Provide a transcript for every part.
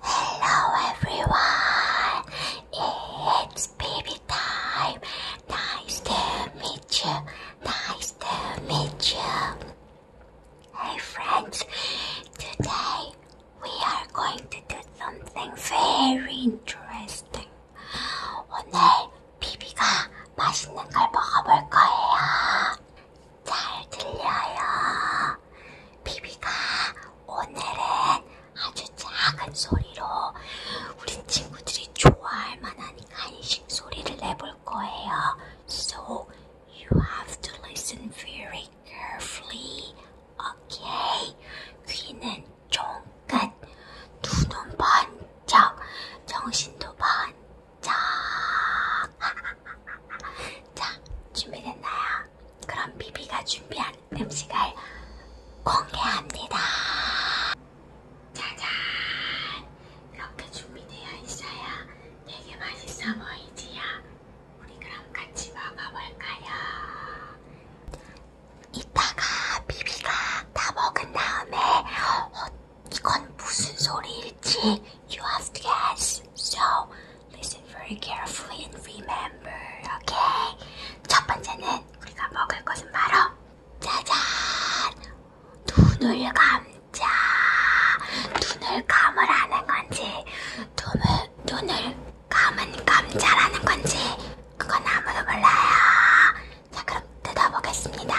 Hello everyone, it's baby time. Nice to meet you, nice to meet you. Hey friends, today we are going to do something very interesting. 오늘 비비가 맛있는 걸 먹어볼 거예요. 잘 들려요. 비비가 오늘은 아주 작은 소리로 우리 친구들이 좋아할 만한 간식 소리를 내볼 거예요. So you have to listen very carefully. Okay. 귀는 종끝, 눈은 번쩍, 정신도 번쩍. 자, 자 준비됐나요? 그럼 비비가 준비한 음식을 공개합니다. 짜잔, 이렇게 준비되어 있어요. 되게 맛있어 보이지요? 우리 그럼 같이 먹어볼까요? 이따가 비비가 다 먹은 다음에. 이건 무슨 소리일지 you have to guess. So listen very carefully and remember, okay? 첫 번째는 우리가 먹을 것은 바로 짜잔 눈을 감자 눈을 감으라는 건지 눈을 눈을 감은 감자라는 건지 그건 아무도 몰라요. 자, 그럼 뜯어보겠습니다.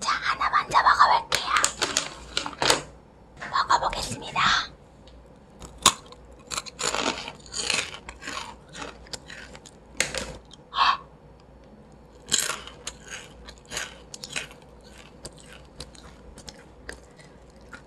자, 하나 먼저 먹어볼게요. 먹어보겠습니다.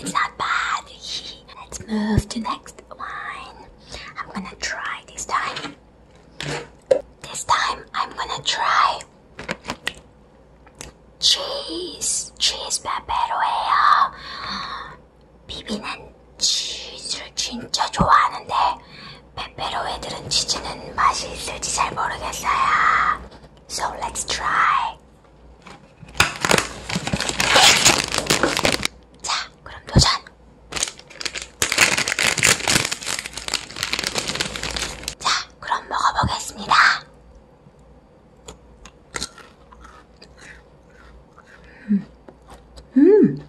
It's not bad. Let's move to next one. I'm gonna try this time. This time I'm gonna try cheese, cheese peppero예요. 비비는 치즈 진짜 좋아하는데 페페로에들은 치즈는 맛이 있을지 잘 모르겠어요. So let's try. 자, 그럼 도전. 자, 그럼 먹어보겠습니다. 음. 음.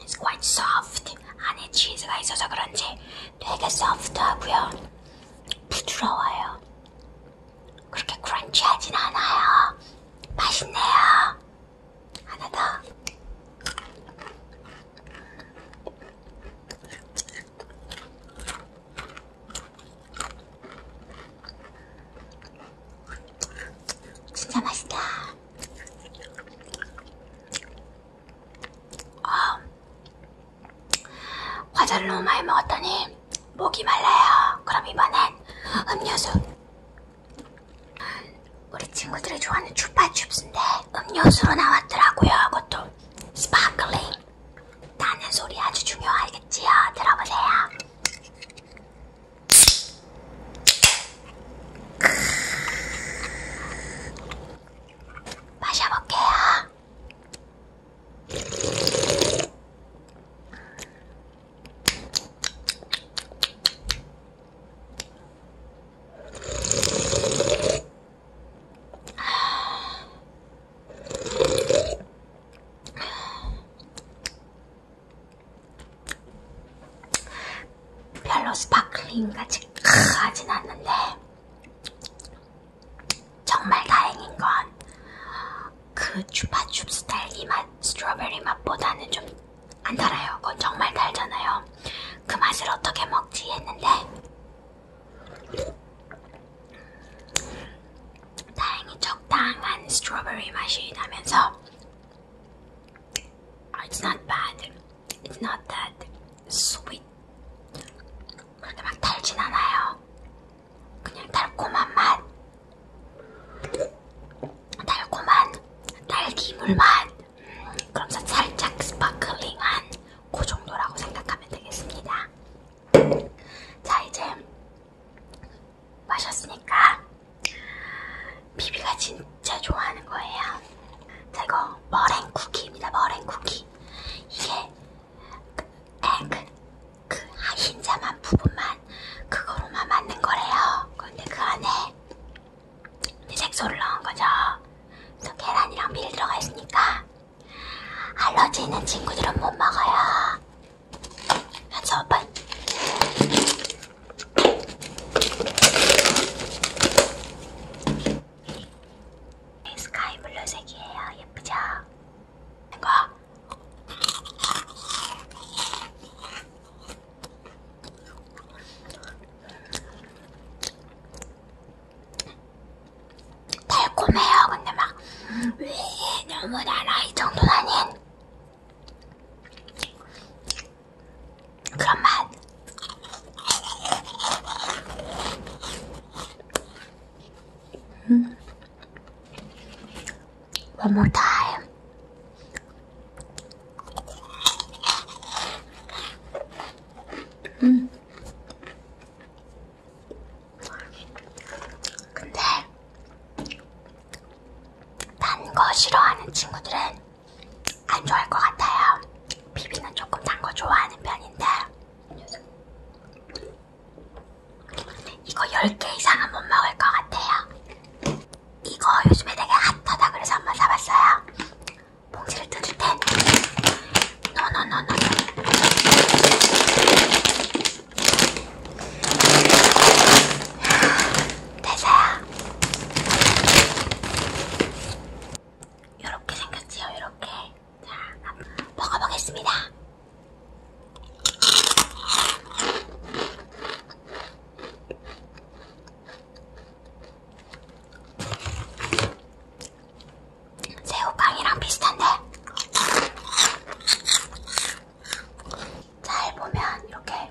It's quite soft. 안에 치즈가 있어서 그런지 되게 소프트하고요. 부드러워요. 그렇게 크런치하진 않아요. 맛있네요. 하나 더. 진짜 맛있다. 아, 과자를 너무 많이 먹었더니 목이 말라요. 그럼 이번엔 음료수. 우리 친구들이 좋아하는 추파춥스인데 음료수로 나왔더라고요. 그것도 스파클링. 나는 소리 아주 중요하겠지요. 들어보세요. 마셔볼게요. 별로 스파클링까지 하진 않는데 정말 다행인 건 그 주파춥 스타일 이 맛, 스트로베리 맛보다는 좀안 달아요. 그건 정말 달잖아요. 그 맛을 어떻게 먹지 했는데 다행히 적당한 스트로베리 맛이 나면서 Uh, it's not bad. It's not that sweet. 그렇게 막 달진 않아요. 그냥 달콤한 맛. 달콤한 딸기물 맛. 음, 그럼 살짝 스파클링한 그 정도라고 생각하면 되겠습니다. 자, 이제 마셨으니까 비비가 진짜 좋아하는 거예요. 자 이거 머랭 쿠키입니다. 머랭 쿠키 이게 그, 그, 그 아, 흰자만 부분만 그거로만 만든 거래요. 그런데 그 안에 색소를 넣은 거죠. 그래서 계란이랑 밀 들어가 있으니까 알러지 있는 친구들은 못 먹어요. 같이 오빠 스카이 블루색이에요. 예쁘죠? 이거. 달콤해요. 근데 막 왜 너무 달아 이 정도는 아닌 Grumman. Mm. One more time. Mm. 근데 단거 싫어하는 친구들은 안 좋아할 것 같아요. 비비는 조금 단 거 좋아하는 편인데 이거 10개 이상은 못 먹을 것 같아요. 이거 요즘에 되게 핫하다 그래서 한번 사봤어요. 봉지를 뜯을 땐 노노노노 대사야 이렇게 생겼지요 이렇게 자 먹어보겠습니다 새우깡이랑 비슷한데 잘 보면 이렇게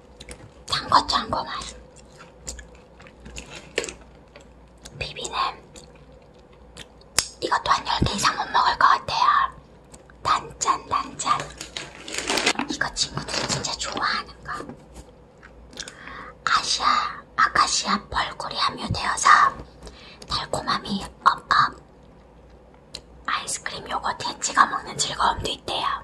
짠거 짠거 맛. 비비는 이것도 한 10개 이상 못 먹을 것 같아요. 단짠 단짠. 이거 친구들이 진짜 좋아하는 거. 아시아 아카시아 벌꿀이 함유되어서 달콤함이 업업. 아이스크림 요거트에 찍어 먹는 즐거움도 있대요.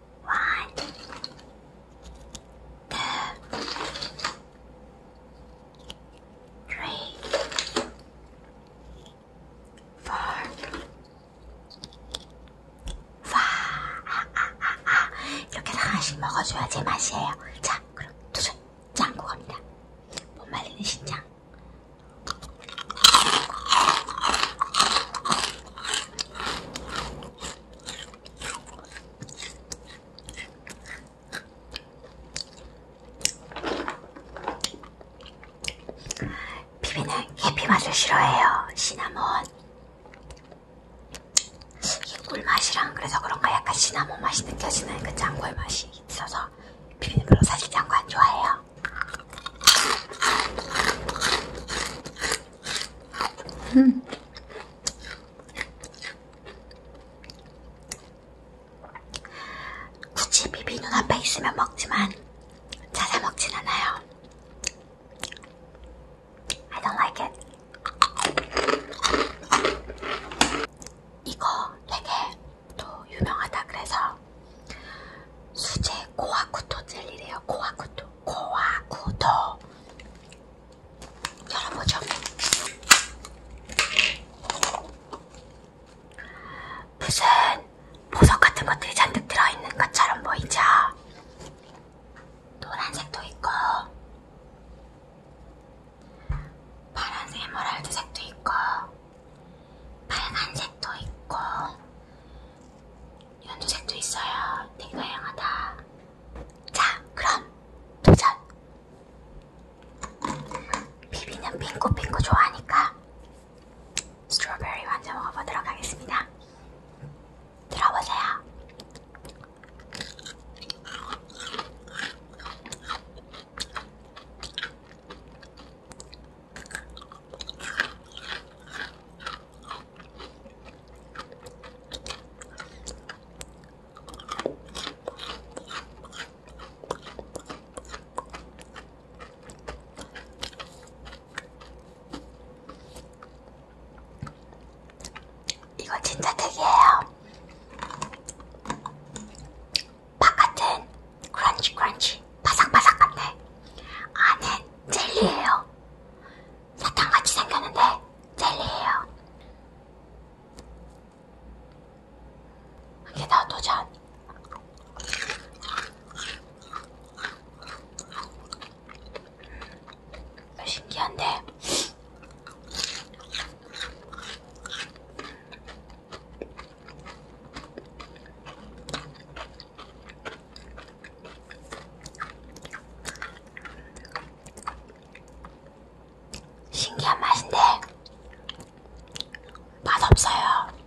One, two, three, four, five. 이렇게 하나씩 먹어줘야 제 맛이에요. 자, 그럼 두손 짱구 갑니다. 못 말리는 신장. 비비는 해피 맛을 싫어해요. 시나몬. 이 꿀맛이랑 그래서 그런가 약간 시나몬 맛이 느껴지는 그 짱구의 맛이 있어서 비비는 별로 사실 짱구 안 좋아해요. 음. 굳이 비비 눈앞에 있으면 먹지만 찾아 먹진 않아요. I don't like it. 이거 되게 또 유명하다 그래서 수제 고아쿠토 젤리래요. 고아쿠토, 고아쿠토. 열어보죠. 무슨 보석 같은 것들이 잔뜩 들어있는 것처럼 보이죠? 노란색도 있고 파란색 에메랄드색도 있고 빨간색도 있고 연두색도 있어요. 되게 다양하다. 자, 그럼 도전! 비비는 핑크핑크 좋아하니까 스트로베리 먼저 먹어보도록 하겠습니다. 들어보세요. 이거 진짜 특이해요. 바깥은 크런치 크런치 바삭바삭한데 안은 젤리예요. 사탕같이 생겼는데 젤리예요. 여기다 도전. 음, 신기한데 신기한 맛인데 맛없어요.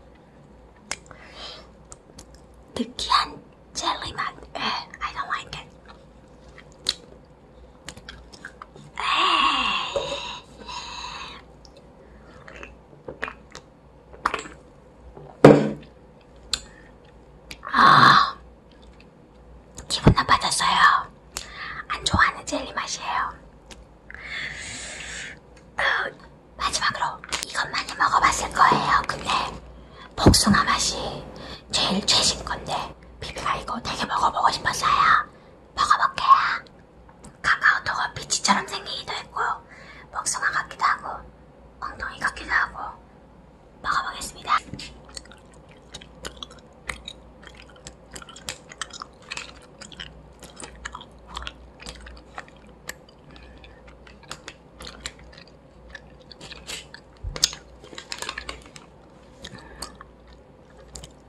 느끼한 젤리 맛. 에, I don't like it. 에이. 아, 기분 나빠졌어요. 안 좋아하는 젤리 맛이에요. 그, 마지막으로 이것만이 먹어봤을 거예요. 근데 복숭아 맛이 제일 최신 건데 비비가 이거 되게 먹어보고 싶었어요. 먹어볼게요. 카카오톡은 비치처럼 생기기도 했고 복숭아 같기도 하고 엉덩이 같기도 하고 먹어보겠습니다.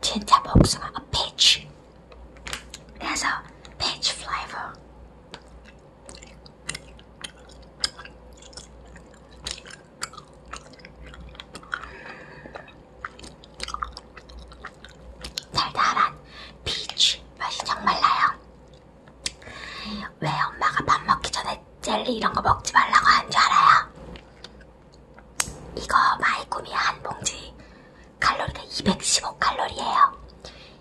진짜 복숭아, 아, peach. 그래서 peach flavor. 달달한 피치 맛이 정말 나요. 왜 엄마가 밥 먹기 전에 젤리 이런 거 먹지 말라고 하는 줄 알아요? 이거 마이구미 한 봉지 칼로리가 215칼로리예요.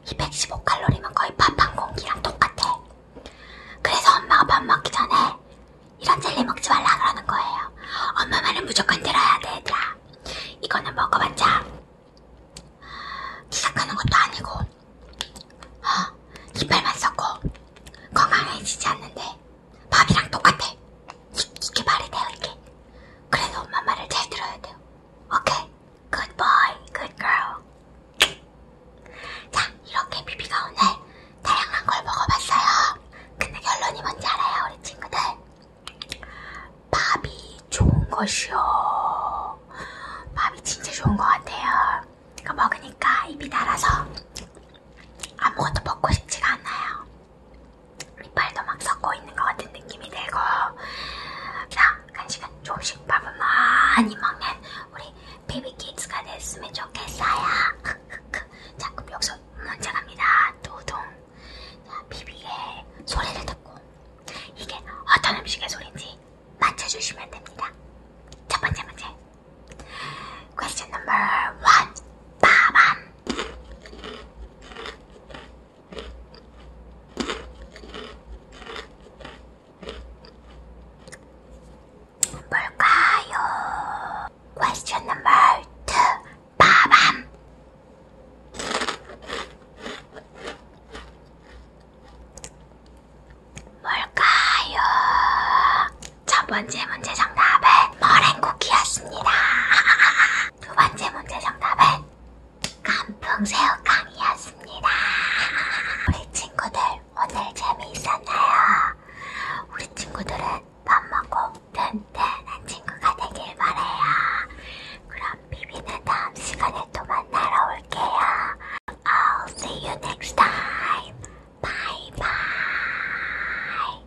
215칼로리면 거의 밥 한 공기랑 똑같아. 그래서 엄마가 밥 먹기 전에 이런 젤리 먹지 말라 그러는 거예요. 엄마 말은 무조건 들어야 돼, 얘들아. 이거는 먹어봤자 시작하는 것도 아니고 어, 이빨만 썼고 건강해지지 않는데 밥이랑 똑같아. 이, 이게 말이 돼요, 이게. 그래서 엄마 말을 잘 들어야 돼요. 오케이? Good boy, good girl. 자, 이렇게 비비가 오늘 다양한 걸 먹어봤어요. 근데 결론이 뭔지 알아요, 우리 친구들? 밥이 좋은 것이요. 밥이 진짜 좋은 것 같아요. 그러니까 먹으니까 입이 달아서 아무것도 먹고 싶지가 않아요. 이빨도 막 섞고 있는 것 같은 느낌이 들고. 자, 간식은 조금씩 밥을 많이 먹는 우리 베이비키즈가 됐으면 좋겠어요. 자, 그럼 여기서 문제 갑니다. 두둥. 자, 비비의 소리를 듣고 이게 어떤 음식의 소리인지 맞춰주시면 됩니다. 첫 번째 문제. Question number one. 빠밤. 뭘까요? Question number two. 빠밤. 뭘까요? 첫 번째 문제 정답은 머랭쿠키였습니다. 두 번째 문제 정답은 깐풍새우깡이었습니다. 우리 친구들 오늘 재미있었나요? 우리 친구들은 밥 먹고 튼튼한 친구가 되길 바래요. 그럼 비비는 다음 시간에 또 만나러 올게요. I'll see you next time. Bye bye.